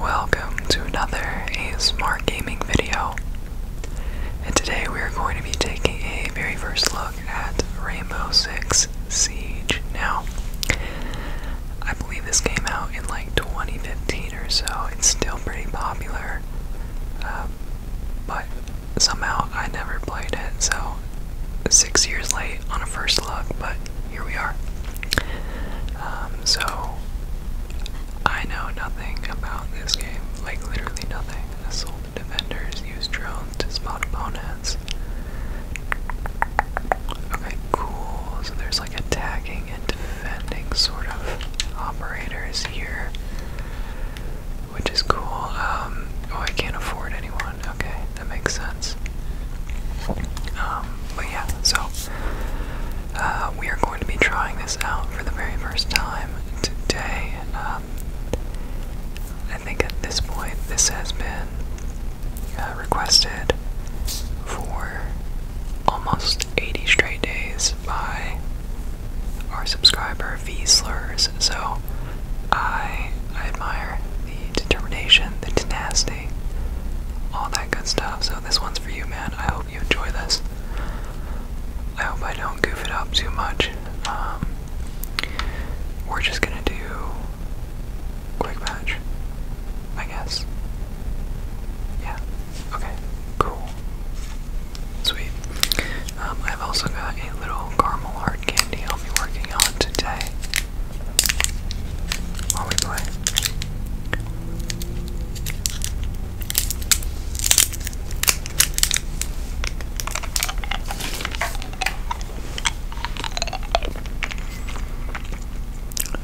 Welcome to another A Smart gaming video. And today we are going to be taking a very first look at Rainbow Six Siege. Now, I believe this came out in like 2015 or so. It's still pretty popular, um, but somehow I never played it. So, six years late on a first look, but here we are. Um, so, I know nothing about this game, like literally nothing. defenders use drones to spot opponents. Okay, cool. So there's like attacking and defending sort of operators here, which is cool. Um, oh, I can't afford anyone. Okay, that makes sense. Um, but yeah, so uh, we are going to be trying this out for the very first time today. And um, I think at this point, this has been uh, requested for almost 80 straight days by our subscriber V Slurs. So I, I admire the determination, the tenacity, all that good stuff. So this one's for you, man. I hope you enjoy this. I hope I don't goof it up too much. Um, we're just gonna do quick match, I guess. Yeah. Okay. Cool. Sweet. Um, I've also got a little caramel hard candy I'll be working on today while we play.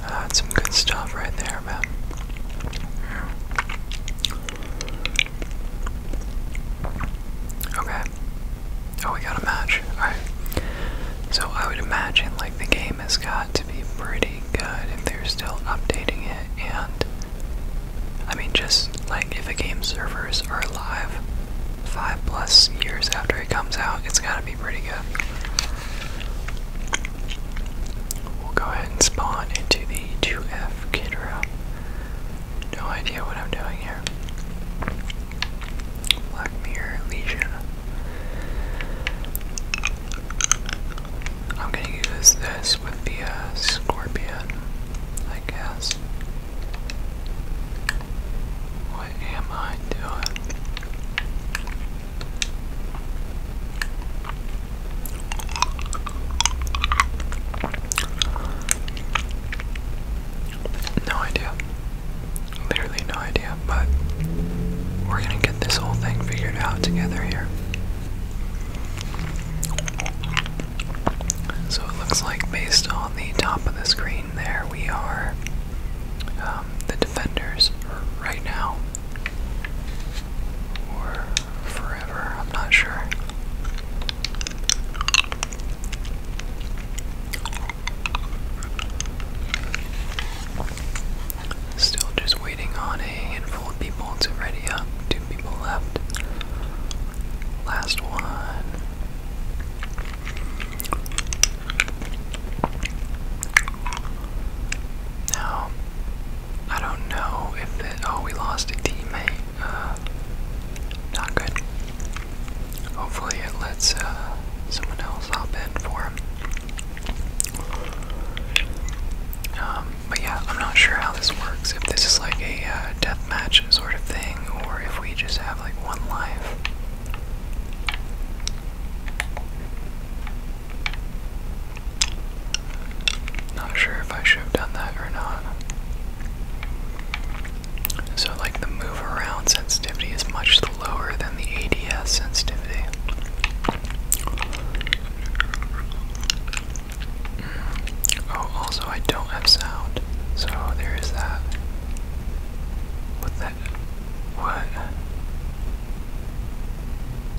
Uh, that's some good stuff right there, man. Okay. Oh, we got a match. Alright. So I would imagine like the game has got to be pretty good if they're still updating it and I mean just like if a game servers are alive five plus years after it comes out, it's gotta be pretty good. We'll go ahead and spawn into the 2F Kidra. No idea what I'm doing here. Black Mirror I'm gonna use this with the uh, scorpion, I guess. What am I doing? No idea. Literally no idea, but we're gonna get this whole thing figured out together here. So it looks like, based on the top of the screen, there we are, um, the defenders right now. Or forever, I'm not sure. Still just waiting on a handful of people to ready up. Two people left. Last one. Now, I don't know if it. Oh, we lost a teammate. Uh, not good. Hopefully, it lets uh, someone else hop in for him. Um, but yeah, I'm not sure how this works. If this is like a uh, sort of thing, or if we just have like one life. Not sure if I should have done that or not. So, like, the move around sensitivity is much lower than the ADS sensitivity. Mm. Oh, also, I don't have sound, so there is that. What that? What?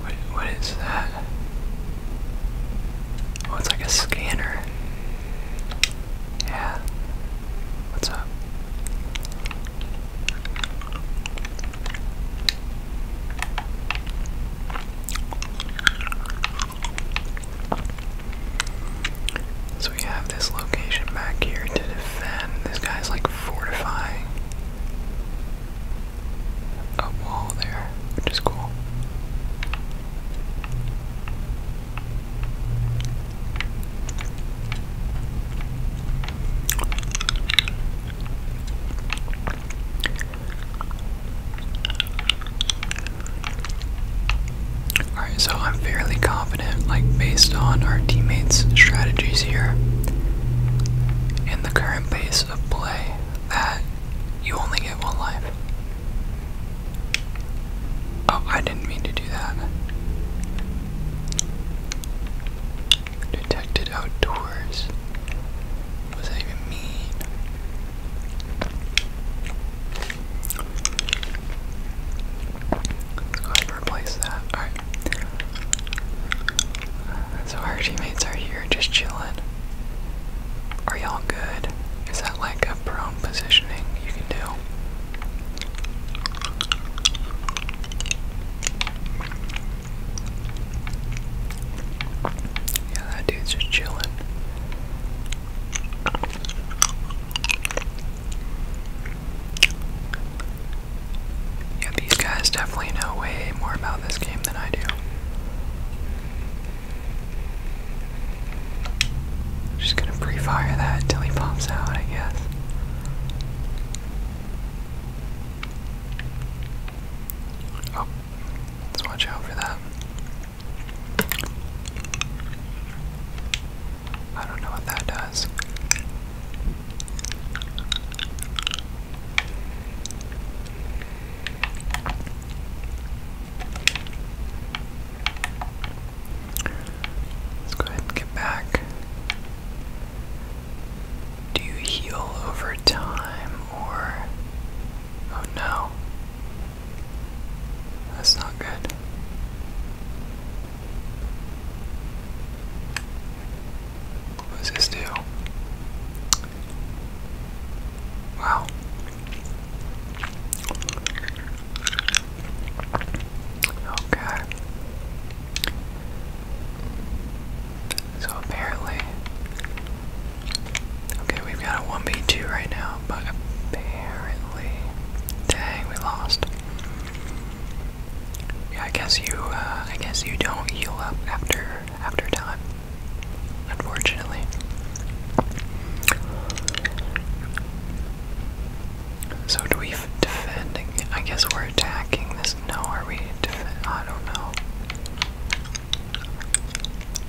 What? What is that? Oh, it's like a scanner. Yeah. What's up? So we have this location back here to defend. This guy's like fortifying a wall there, which is cool. Alright, so I'm fairly confident, like, based on our teammates' strategies here and the current pace of play, that you only get one life. Oh, I didn't mean to do that. Detected outdoors. What that even mean? Let's go ahead and replace that. Alright. So our teammates are here just chilling. Are y'all good? Is that like like positioning you can do. Yeah, that dude's just chilling. Yeah, these guys definitely know way more about this game than I do. Just gonna pre-fire that until he pops out, I guess. Oh, let's watch out for that. I don't know what that does. Let's go ahead and get back. Do you heal over time or. Oh no. That's not good. What does this do? Wow. Okay. So apparently. Okay, we've got a 1v2 right now, but apparently. Dang, we lost. Yeah, I guess you, uh, I guess you don't heal up after, after time unfortunately. So do we defend? I guess we're attacking this. No, are we defend? I don't know.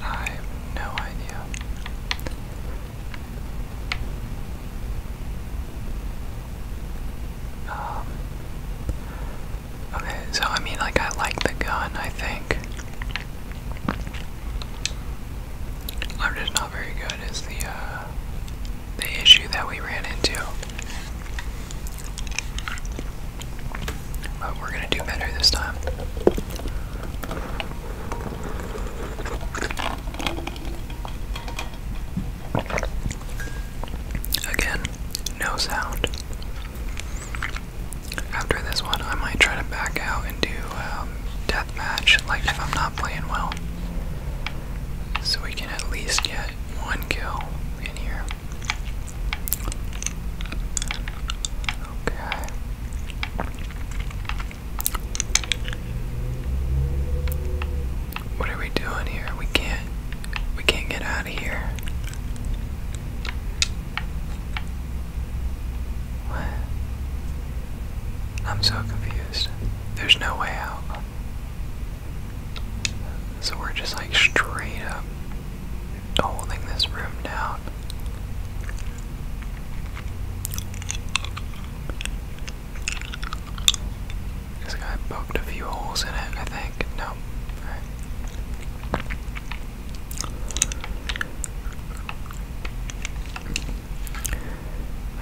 I have no idea. Um, okay, so I mean, like, I like the gun, I think. I'm just not very good is the uh, the issue that we ran into. But we're gonna do better this time. Again, no sound. After this one, I might try to back out and do um, deathmatch, like if I'm not playing well. So we can at least get one kill in here. Okay. What are we doing here? We can't we can't get out of here. What? I'm so confused. There's no way out. So we're just like straight up holding this room down. This guy poked a few holes in it, I think. No.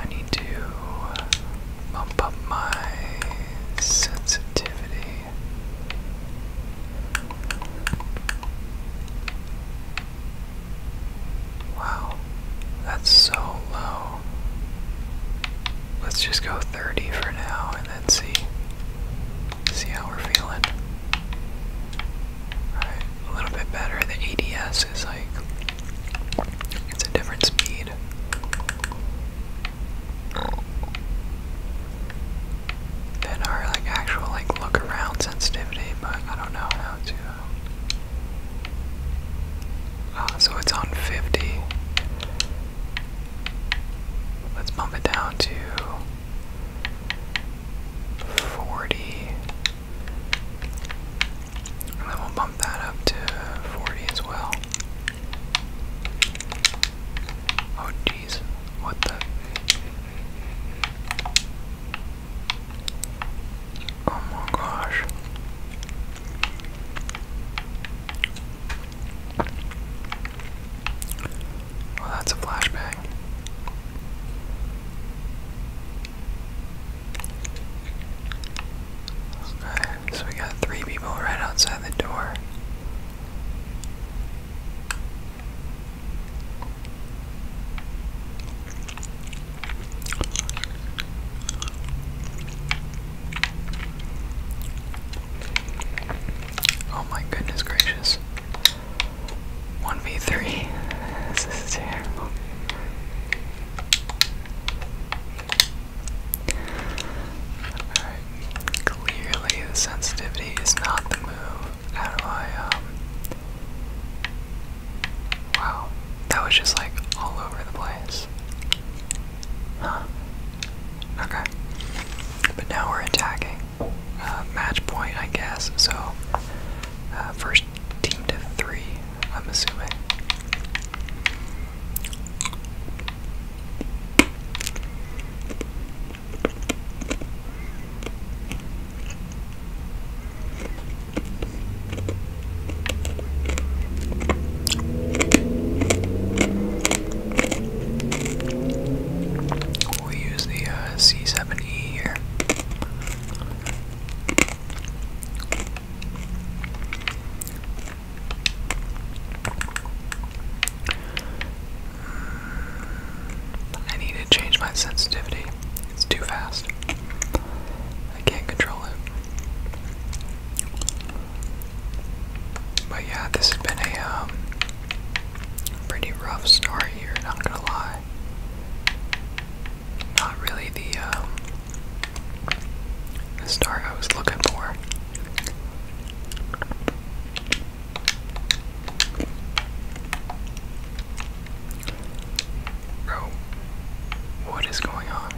I need to uh, bump up my sensitivity. Wow, that's so low. Let's just go 30 for now and then see see how we're feeling a little bit better. The ADS is like it's a different speed. Than our like actual like look around sensitivity, but I don't know how to. Uh, uh, so it's on 50. Let's bump it down to 40. And then will bump that up to 40 as well. Oh jeez, what the? Oh my gosh. Well, that's a flashback. Okay, so we got three people right outside the door. Oh my goodness gracious. 1v3. This is terrible. Clearly, the sensitivity is not the move. How do I, um, Wow. That was just like all over the place. Huh. Okay. But now we're attacking. Uh, match point, I guess. So, uh, first team to three, I'm assuming. We'll use the uh, C7E here. I need to change my sensitivity. It's too fast. I can't control it. But yeah, this has been a um, Pretty rough start here, not gonna lie. Not really the, um, start I was looking for. Bro, what is going on?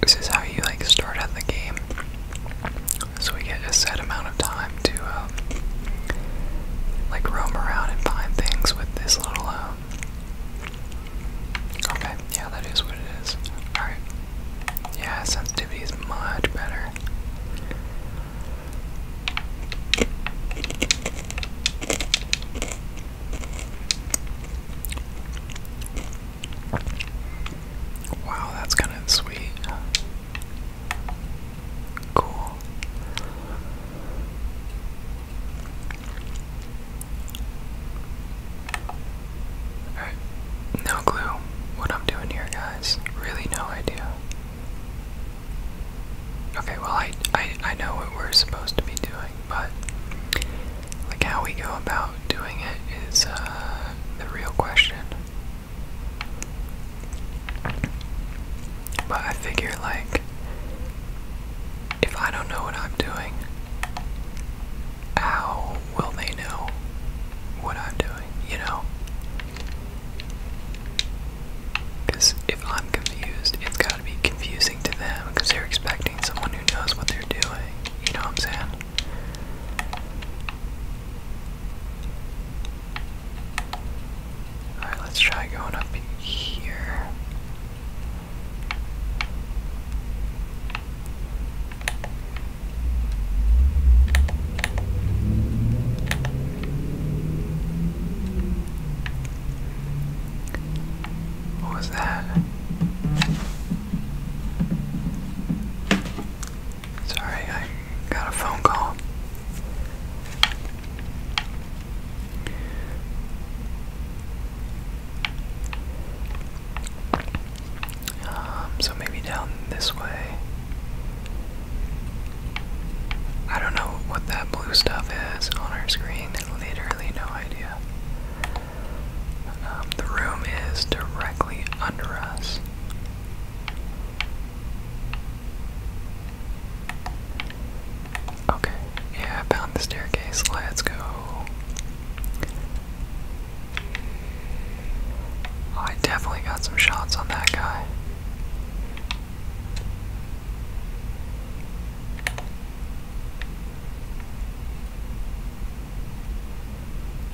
This is how you like start out the game. So we get a set amount of time to um, like roam around and find things with this little. Um, okay, yeah, that is what it is. All right. Yeah, sensitivity is much better. Wow, that's kind of sweet. Cool. no clue what I'm doing here, guys. Really, no idea. Okay, well, I, I, I know what we're supposed to be doing, but like how we go about doing it is uh, the real question. But I figure, like, if I don't know what I'm doing, how will they know what I'm doing, you know? Because if I'm confused, it's got to be confusing to them because they're expecting someone who knows what they're doing. You know what I'm saying? Alright, let's try going up here. What was that? Sorry, I got a phone call. Um, so maybe down this way. I don't know what that blue stuff is on our screen. Literally no idea. Um, the room is directly under us. Okay, yeah, found the staircase. Let's go. I definitely got some shots on that guy.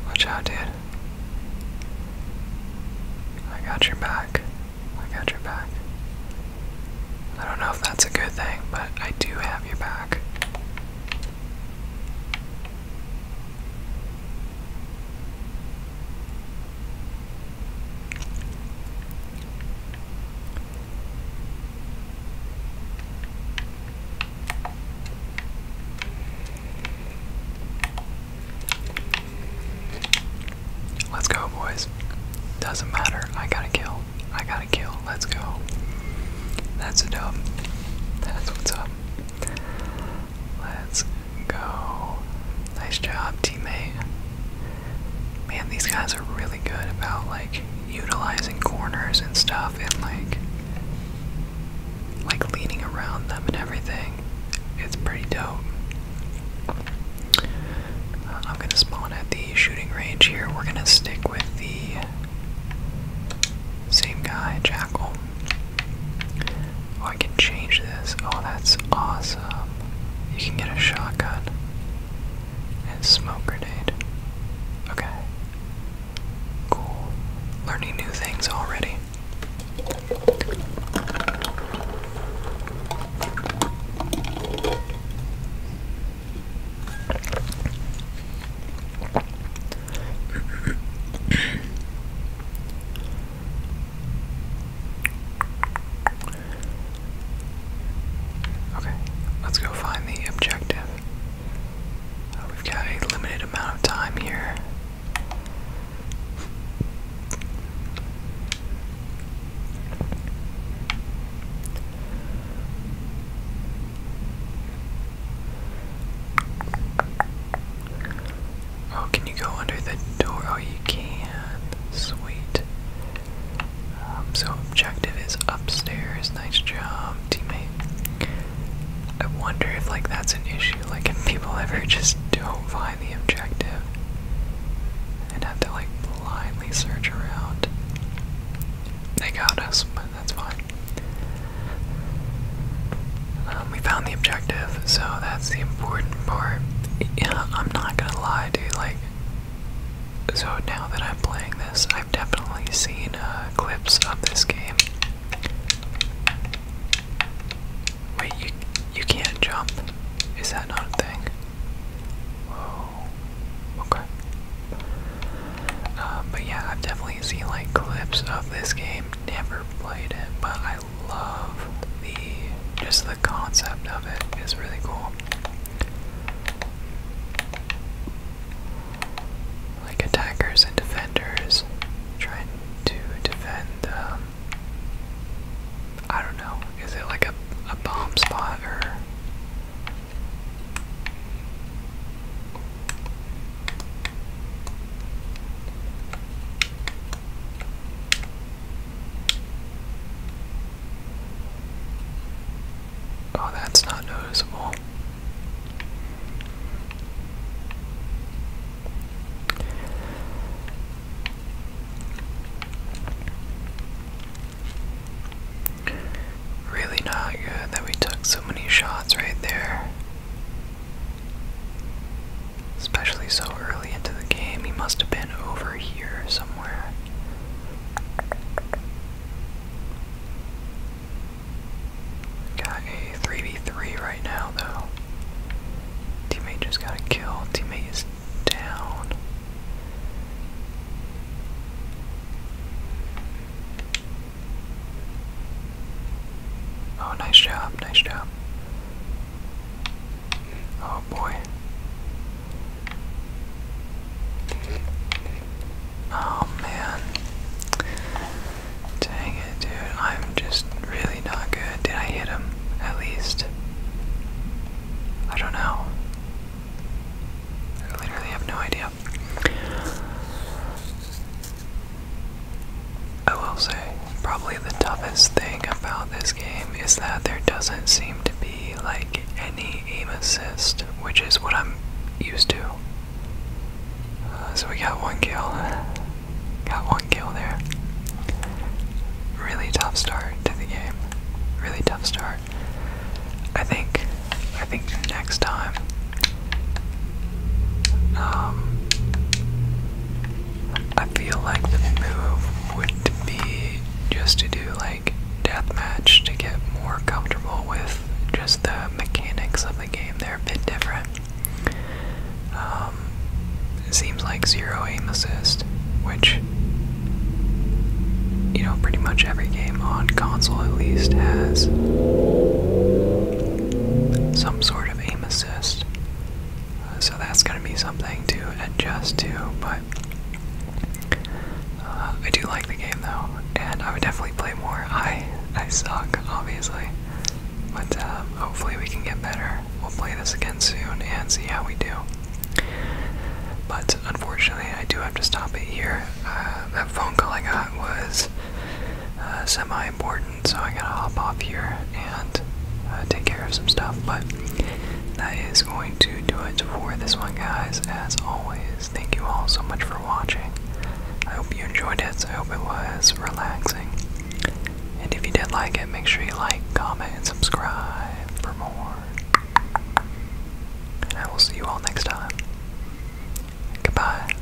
Watch out, dude. I got your back. I got your back. I don't know if that's a good thing, but I do have your back. Let's go, boys. Doesn't matter. I gotta kill. I gotta kill. Let's go. That's a dub. That's what's up. Let's go. Nice job, teammate man, these guys are really good about like utilizing corners and stuff and like like leaning around them and everything. It's pretty dope. Uh, I'm gonna spawn at the shooting range here. We're gonna stick with the same guy, Jackal. Oh, I can change this. Oh, that's awesome. You can get a shotgun and smoke grenade. Okay. Cool. Learning new things already. Okay, let's go find the objective. Uh, we've got a limited amount of time here. Oh, can you go under the door? Oh, you can. Sweet. Um, so, objective is upstairs. Nice job, teammate. I wonder if, like, that's an issue. Like, if people ever just don't find the objective and have to, like, blindly search around. They got us, but that's fine. Um, we found the objective, so that's the important part. Yeah, I'm not gonna lie, dude. Like, so now that I'm playing this, I've definitely seen uh, clips of this game. Wait, you you can't jump? Is that not a thing? Whoa. Okay. Uh, but yeah, I've definitely seen like clips of this game. Never played it, but I love the just the concept of it is really cool. Like attackers and defenders trying to defend. Um, I don't know. Is it like a a bomb spot Oh, that's not noticeable. Really not good that we took so many shots right there. Especially so early into the game, he must have been over here somewhere. Got a 3v3 right now, though. Teammate just got a kill. Teammate is down. Oh, nice job, nice job. Oh boy. Oh man. Dang it, dude. I'm just really not good. Did I hit him at least? I don't know. I literally have no idea. I will say, probably the toughest thing about this game is that there doesn't seem to be like any aim assist, which is what I'm used to. Uh, so we got one kill. Got one kill there. Really tough start to the game. Really tough start. I think I think next time um, I feel like the move would be just to do like deathmatch to get more comfortable with just the mechanics of the game. They're a bit different. Um, seems like zero aim assist, which you know pretty much every game on console at least has some sort of aim assist so that's going to be something to adjust to, but uh, I do like the game though, and I would definitely play more. I I suck, obviously, but um, hopefully we can get better. We'll play this again soon and see how we do. But unfortunately, I do have to stop it here. Uh, that phone call I got was uh, semi important, so I gotta hop off here and uh, take care of some stuff. But that is going to do it for this one, guys. As always, thank you all so much for watching. I hope you enjoyed it. I hope it was relaxing. And if you did like it, make sure you like, comment, and subscribe for more. And I will see you all next time. Goodbye.